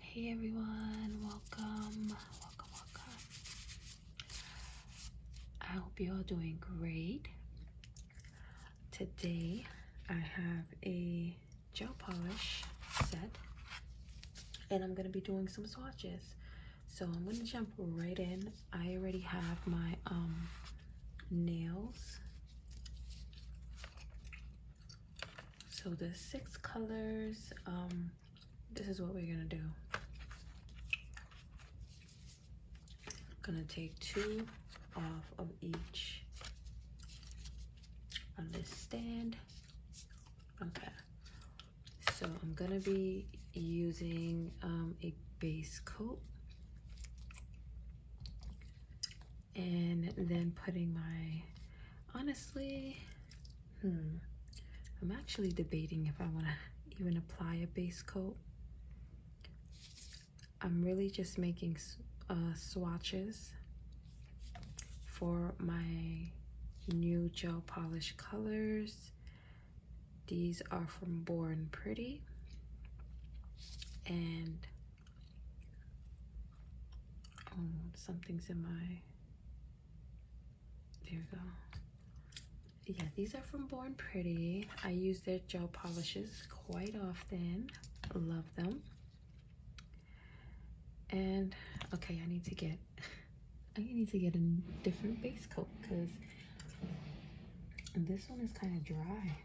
Hey everyone, welcome, welcome, welcome. I hope you're doing great. Today I have a gel polish set and I'm gonna be doing some swatches. So I'm gonna jump right in. I already have my um, nails so the six colors, um, this is what we're gonna do. I'm gonna take two off of each on this stand. Okay, so I'm gonna be using um, a base coat and then putting my honestly hmm, I'm actually debating if I want to even apply a base coat I'm really just making uh, swatches for my new gel polish colors these are from Born Pretty and Oh, something's in my. There you go. Yeah, these are from Born Pretty. I use their gel polishes quite often. Love them. And okay, I need to get. I need to get a different base coat because this one is kind of dry.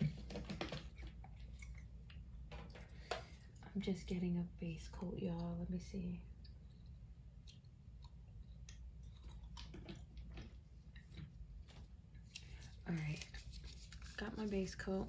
I'm just getting a base coat, y'all. Let me see. All right, got my base coat.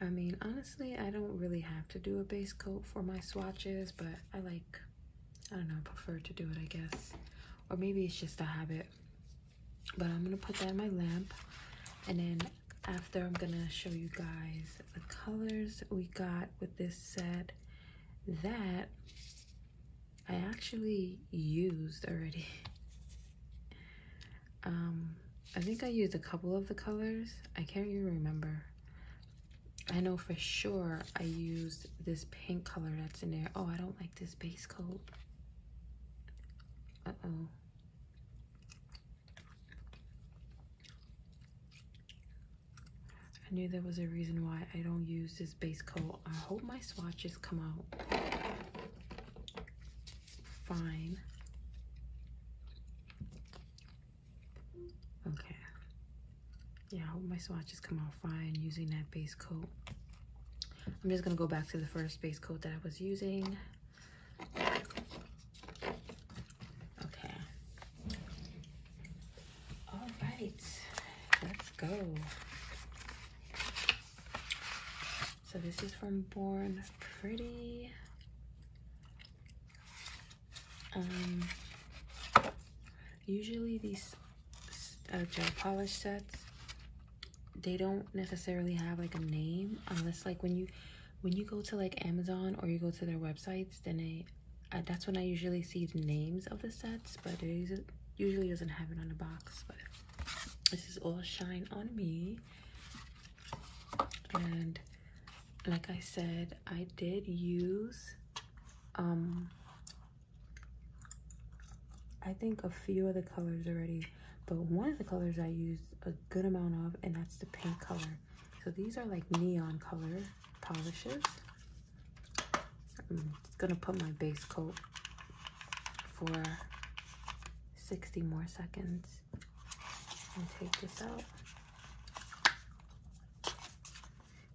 I mean, honestly, I don't really have to do a base coat for my swatches, but I like, I don't know, prefer to do it, I guess. Or maybe it's just a habit but i'm gonna put that in my lamp and then after i'm gonna show you guys the colors we got with this set that i actually used already um, i think i used a couple of the colors i can't even remember I know for sure I used this pink color that's in there. Oh, I don't like this base coat. Uh-oh. I knew there was a reason why I don't use this base coat. I hope my swatches come out fine. Okay. Yeah, I hope my swatches come out fine using that base coat. I'm just gonna go back to the first base coat that I was using. Okay. All right, let's go. So this is from Born Pretty. Um, usually these uh, gel polish sets they don't necessarily have like a name unless like when you when you go to like Amazon or you go to their websites, then it. Uh, that's when I usually see the names of the sets, but it usually doesn't have it on the box. But this is all shine on me, and like I said, I did use um I think a few of the colors already, but one of the colors I used a good amount of, and that's the pink color. So these are like neon color polishes. I'm just gonna put my base coat for 60 more seconds and take this out.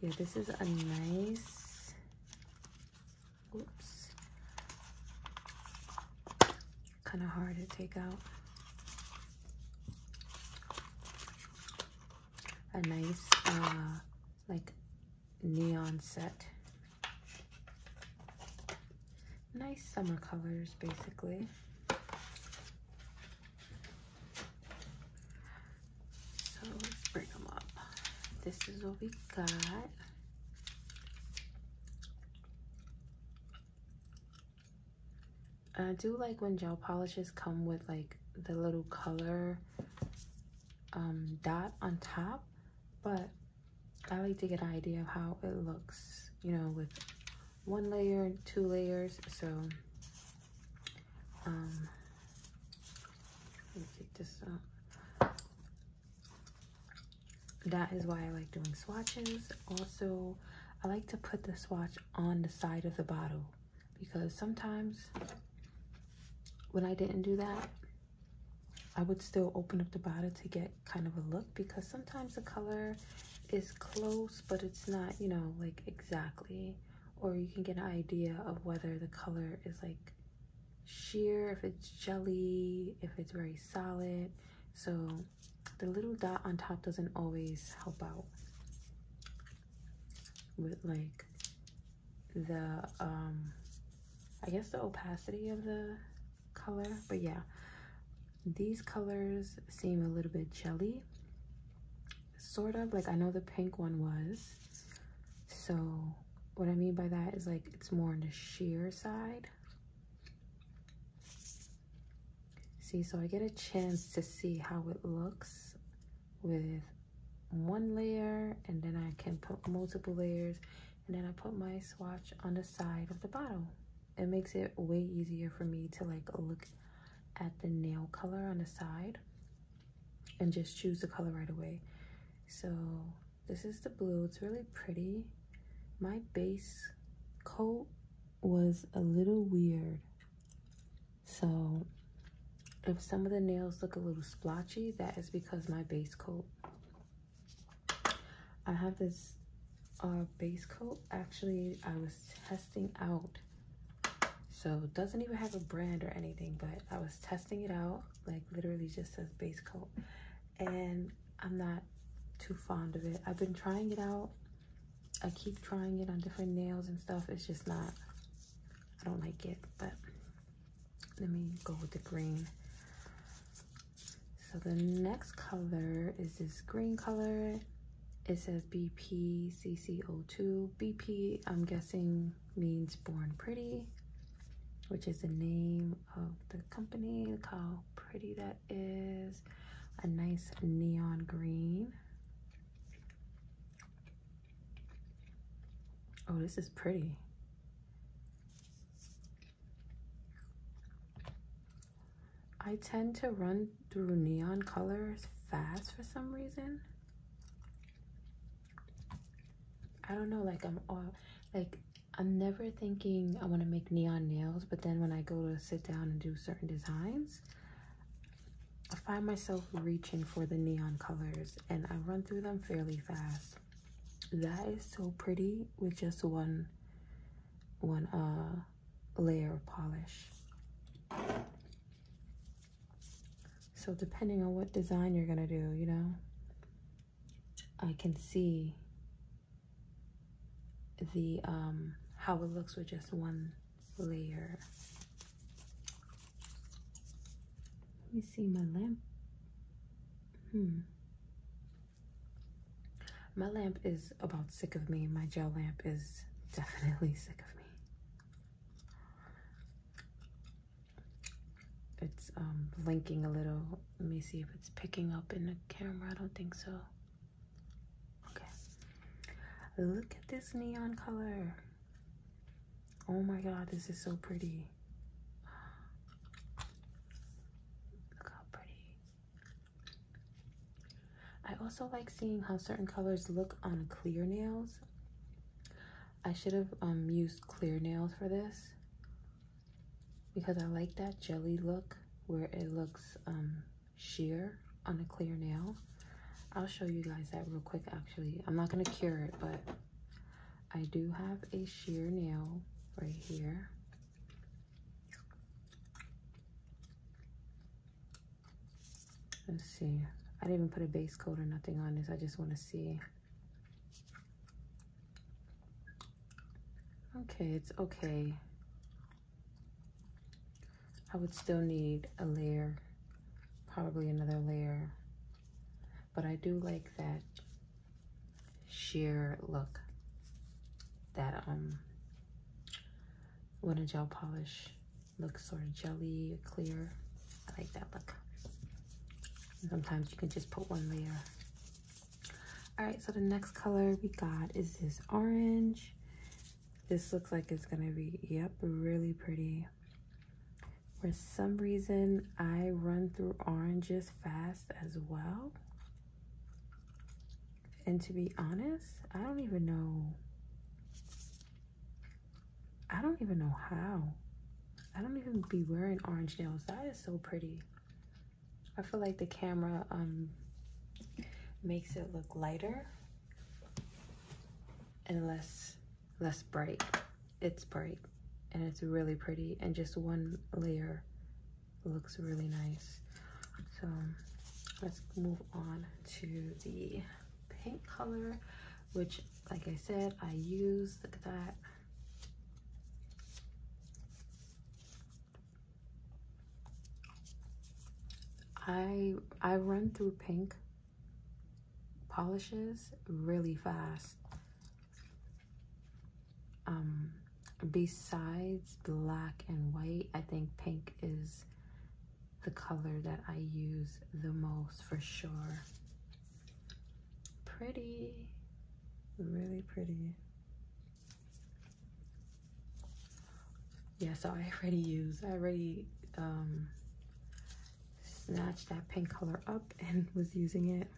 Yeah, this is a nice Whoops. Kind of hard to take out. A nice, uh, like, neon set. Nice summer colors, basically. So let's bring them up. This is what we got. I do like when gel polishes come with like the little color um, dot on top, but I like to get an idea of how it looks, you know, with one layer, two layers. So, um, let me take this out that is why I like doing swatches. Also, I like to put the swatch on the side of the bottle because sometimes when I didn't do that, I would still open up the bottle to get kind of a look because sometimes the color is close, but it's not, you know, like exactly, or you can get an idea of whether the color is like sheer, if it's jelly, if it's very solid. So the little dot on top doesn't always help out with like the, um, I guess the opacity of the color. But yeah, these colors seem a little bit jelly, sort of. Like I know the pink one was. So what I mean by that is like it's more on the sheer side. See, so I get a chance to see how it looks with one layer and then I can put multiple layers and then I put my swatch on the side of the bottle. It makes it way easier for me to like look at the nail color on the side and just choose the color right away. So this is the blue, it's really pretty. My base coat was a little weird. So if some of the nails look a little splotchy, that is because my base coat. I have this uh, base coat. Actually, I was testing out. So doesn't even have a brand or anything, but I was testing it out. Like literally just says base coat and I'm not too fond of it. I've been trying it out. I keep trying it on different nails and stuff. It's just not, I don't like it, but let me go with the green. So the next color is this green color. It says BPCC02. BP, I'm guessing, means born pretty, which is the name of the company. Look how pretty that is. A nice neon green. Oh, this is pretty. I tend to run through neon colors fast for some reason. I don't know, like I'm all, like I'm never thinking I want to make neon nails, but then when I go to sit down and do certain designs, I find myself reaching for the neon colors and I run through them fairly fast. That is so pretty with just one one uh, layer of polish. So depending on what design you're gonna do, you know, I can see the um, how it looks with just one layer. Let me see my lamp. Hmm. My lamp is about sick of me. My gel lamp is definitely sick of me. It's um, blinking a little. Let me see if it's picking up in the camera. I don't think so. Okay. Look at this neon color. Oh my god, this is so pretty. Look how pretty. I also like seeing how certain colors look on clear nails. I should have um, used clear nails for this because I like that jelly look where it looks um, sheer on a clear nail. I'll show you guys that real quick actually. I'm not going to cure it, but I do have a sheer nail right here. Let's see. I didn't even put a base coat or nothing on this. I just want to see Okay, it's okay. I would still need a layer, probably another layer, but I do like that sheer look that um when a gel polish looks sort of jelly clear. I like that look. sometimes you can just put one layer all right, so the next color we got is this orange. This looks like it's gonna be, yep, really pretty. For some reason, I run through oranges fast as well. And to be honest, I don't even know. I don't even know how. I don't even be wearing orange nails. That is so pretty. I feel like the camera um makes it look lighter and less less bright. It's bright and it's really pretty and just one layer looks really nice. So let's move on to the pink color, which like I said, I used, look at that. I I run through pink polishes really fast. Um, besides black and white, I think pink is the color that I use the most for sure. Pretty. Really pretty. Yeah, so I already used, I already um, snatched that pink color up and was using it.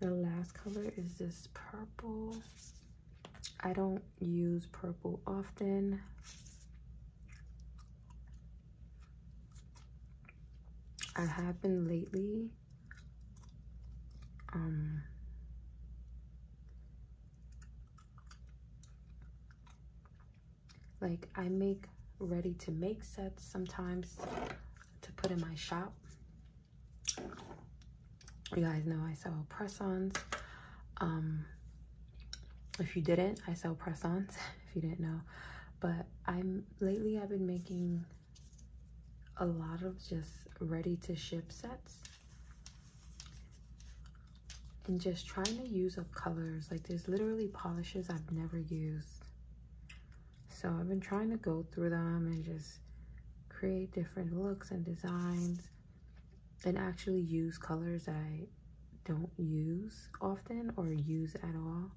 The last color is this purple. I don't use purple often. I have been lately. Um, like I make ready to make sets sometimes to put in my shop. You guys know I sell press-ons. Um, if you didn't, I sell press-ons if you didn't know. But I'm lately I've been making a lot of just ready to ship sets and just trying to use up colors like there's literally polishes I've never used so I've been trying to go through them and just create different looks and designs and actually use colors I don't use often or use at all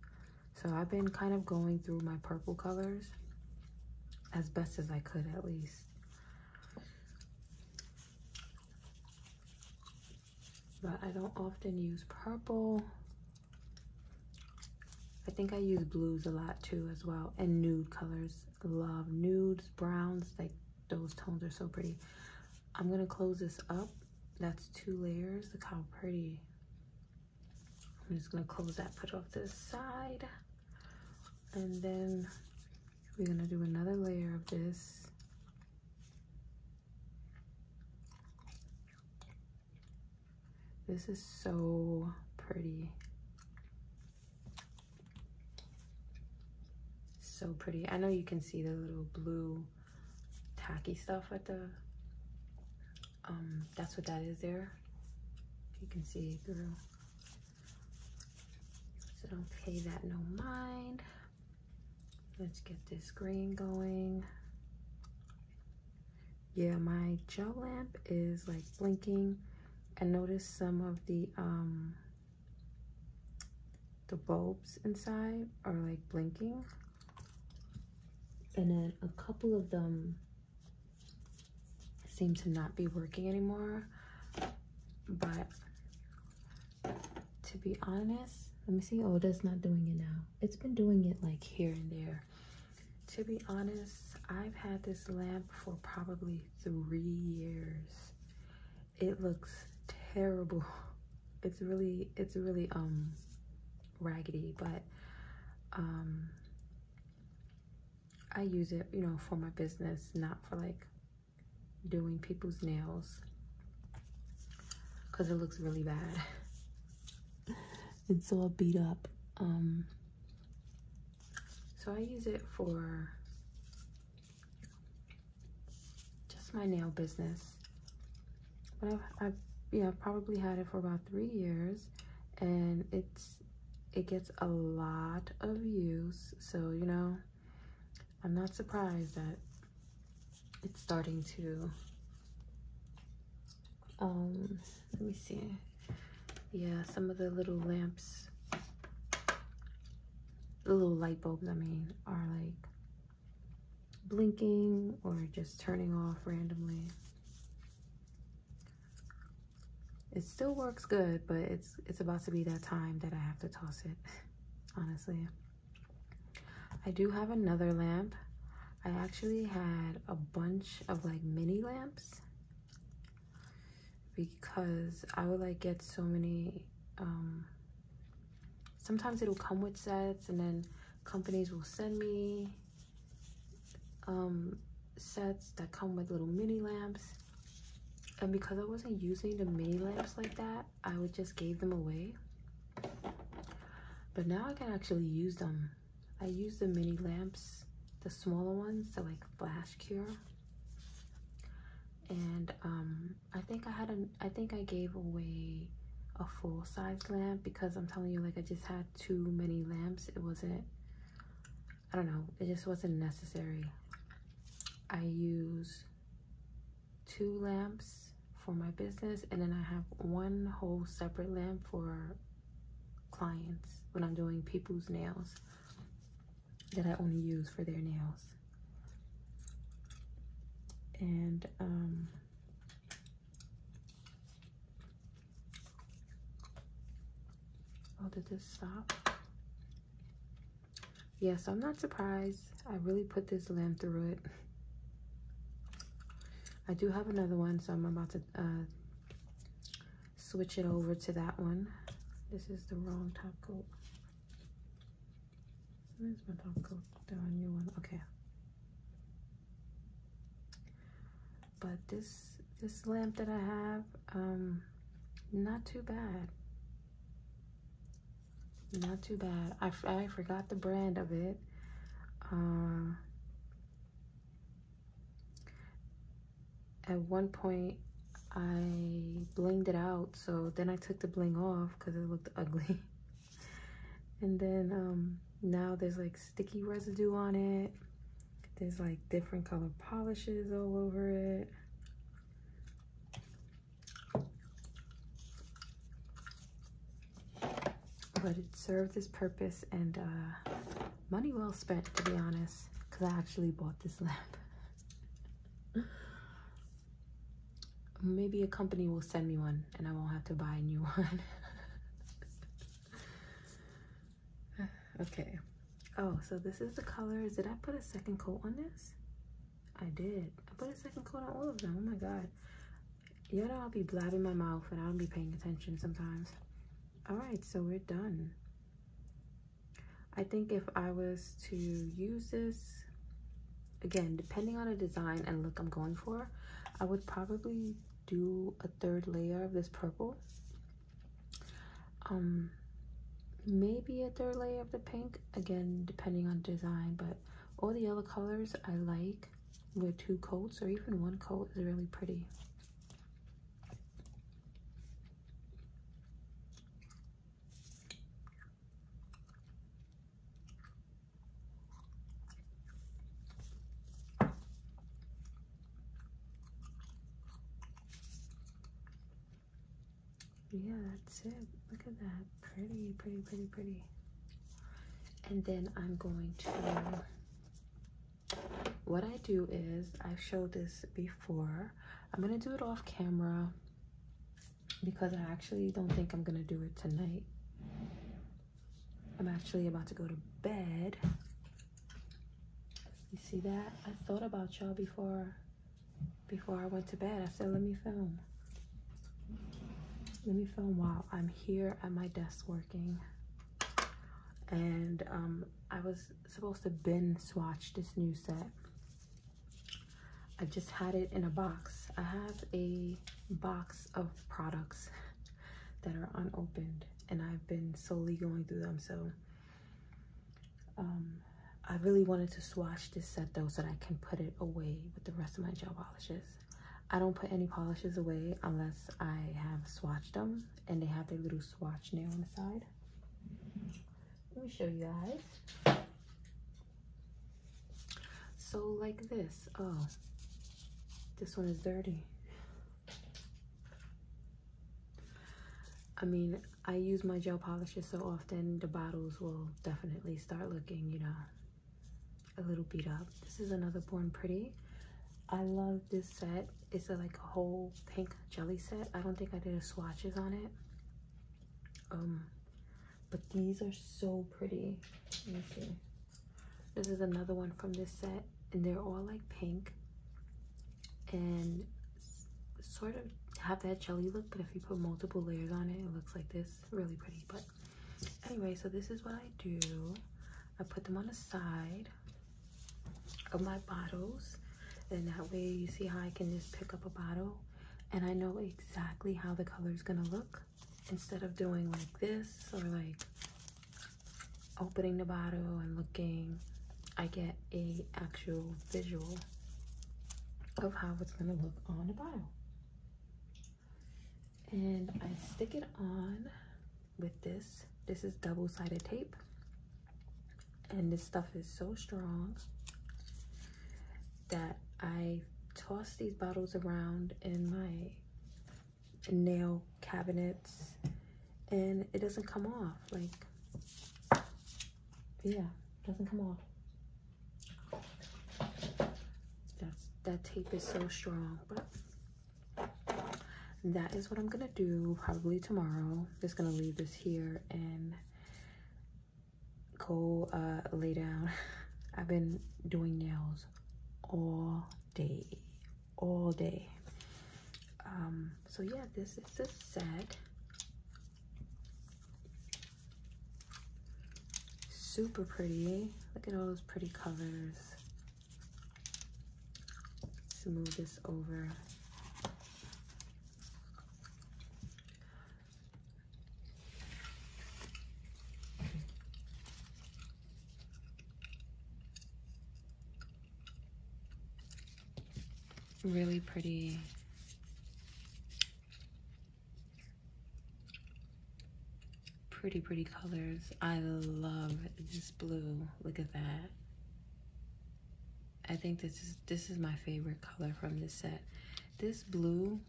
so I've been kind of going through my purple colors as best as I could at least. But I don't often use purple. I think I use blues a lot too as well and nude colors. Love nudes, browns, like those tones are so pretty. I'm gonna close this up. That's two layers, look how pretty. I'm just gonna close that, put off this side. And then we're gonna do another layer of this. This is so pretty. So pretty. I know you can see the little blue tacky stuff at the um, that's what that is there. You can see through. So don't pay that no mind. Let's get this green going. Yeah, my gel lamp is like blinking. I noticed some of the um, the bulbs inside are like blinking and then a couple of them seem to not be working anymore but to be honest let me see oh that's not doing it now it's been doing it like here and there to be honest i've had this lamp for probably three years it looks terrible it's really it's really um raggedy, but um, I use it, you know, for my business, not for like doing people's nails because it looks really bad. it's all beat up. Um, so I use it for just my nail business but I've, yeah probably had it for about three years and it's it gets a lot of use so you know I'm not surprised that it's starting to um let me see yeah some of the little lamps the little light bulbs I mean are like blinking or just turning off randomly it still works good, but it's it's about to be that time that I have to toss it, honestly. I do have another lamp. I actually had a bunch of like mini lamps because I would like get so many um, sometimes it'll come with sets and then companies will send me um, sets that come with little mini lamps. And because I wasn't using the mini lamps like that, I would just gave them away. But now I can actually use them. I use the mini lamps, the smaller ones, the like flash cure. And um, I think I had a. I think I gave away a full size lamp because I'm telling you, like I just had too many lamps. It wasn't, I don't know, it just wasn't necessary. I use two lamps for my business and then I have one whole separate lamp for clients when I'm doing people's nails that I only use for their nails. And um, Oh, did this stop? Yes, yeah, so I'm not surprised. I really put this lamb through it. I do have another one, so I'm about to uh, switch it over to that one. This is the wrong top coat. Where's my top coat? a new one. Okay but this this lamp that I have um, not too bad not too bad I, I forgot the brand of it uh, at one point I blinged it out so then I took the bling off because it looked ugly and then um, now there's like sticky residue on it there's like different color polishes all over it but it served its purpose and uh, money well spent to be honest because I actually bought this lamp maybe a company will send me one and I won't have to buy a new one okay. Oh, so this is the colors. Did I put a second coat on this? I did. I put a second coat on all of them. Oh my god. you know I'll be blabbing my mouth and I will be paying attention sometimes. Alright, so we're done. I think if I was to use this, again, depending on the design and look I'm going for, I would probably do a third layer of this purple um maybe a third layer of the pink again depending on design but all the other colors i like with two coats or even one coat is really pretty yeah that's it look at that pretty pretty pretty pretty and then i'm going to what i do is i've showed this before i'm gonna do it off camera because i actually don't think i'm gonna do it tonight I'm actually about to go to bed. You see that? I thought about y'all before before I went to bed. I said, let me film. Let me film while I'm here at my desk working. And um, I was supposed to bin swatch this new set. I just had it in a box. I have a box of products that are unopened and I've been slowly going through them. So um, I really wanted to swatch this set though so that I can put it away with the rest of my gel polishes. I don't put any polishes away unless I have swatched them and they have their little swatch nail on the side. Let me show you guys. So like this, oh, this one is dirty. I mean, I use my gel polishes so often, the bottles will definitely start looking, you know, a little beat up. This is another Born Pretty. I love this set. It's like a whole pink jelly set. I don't think I did a swatches on it. Um, but these are so pretty. Let me see. This is another one from this set, and they're all like pink and sort of have that jelly look, but if you put multiple layers on it, it looks like this. Really pretty, but anyway, so this is what I do. I put them on the side of my bottles, and that way you see how I can just pick up a bottle and I know exactly how the color is gonna look instead of doing like this or like opening the bottle and looking, I get a actual visual of how it's gonna look on the bottle. And I stick it on with this. This is double-sided tape. And this stuff is so strong that I toss these bottles around in my nail cabinets and it doesn't come off like yeah doesn't come off that's that tape is so strong but that is what i'm gonna do probably tomorrow just gonna leave this here and go uh, lay down i've been doing nails all day all day um so yeah this is a set super pretty look at all those pretty colors smooth this over Really pretty pretty, pretty colors. I love this blue. Look at that. I think this is this is my favorite color from this set. This blue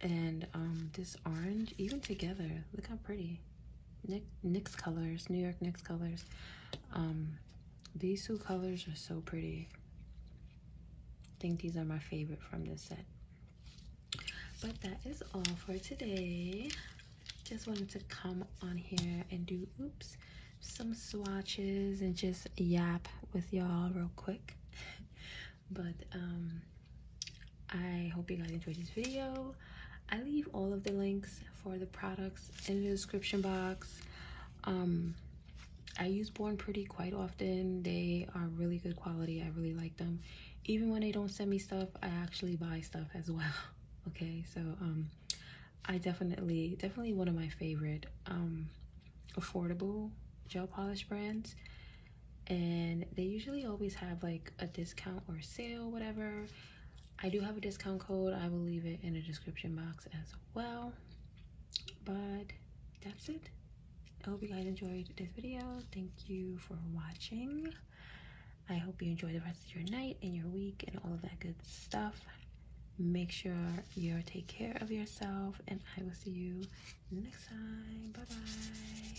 and um, this orange, even together, look how pretty. NYX colors, New York NYX colors. Um, these two colors are so pretty. I think these are my favorite from this set. But that is all for today. Just wanted to come on here and do, oops, some swatches and just yap with y'all real quick. but um, I hope you guys enjoyed this video. I leave all of the links for the products in the description box. Um, I use Born Pretty quite often. They are really good quality. I really like them. Even when they don't send me stuff, I actually buy stuff as well. Okay, so um, I definitely, definitely one of my favorite um, affordable gel polish brands. And they usually always have like a discount or sale, whatever. I do have a discount code. I will leave it in the description box as well. But that's it. I hope you guys enjoyed this video. Thank you for watching. I hope you enjoy the rest of your night and your week and all of that good stuff. Make sure you take care of yourself and I will see you next time. Bye-bye.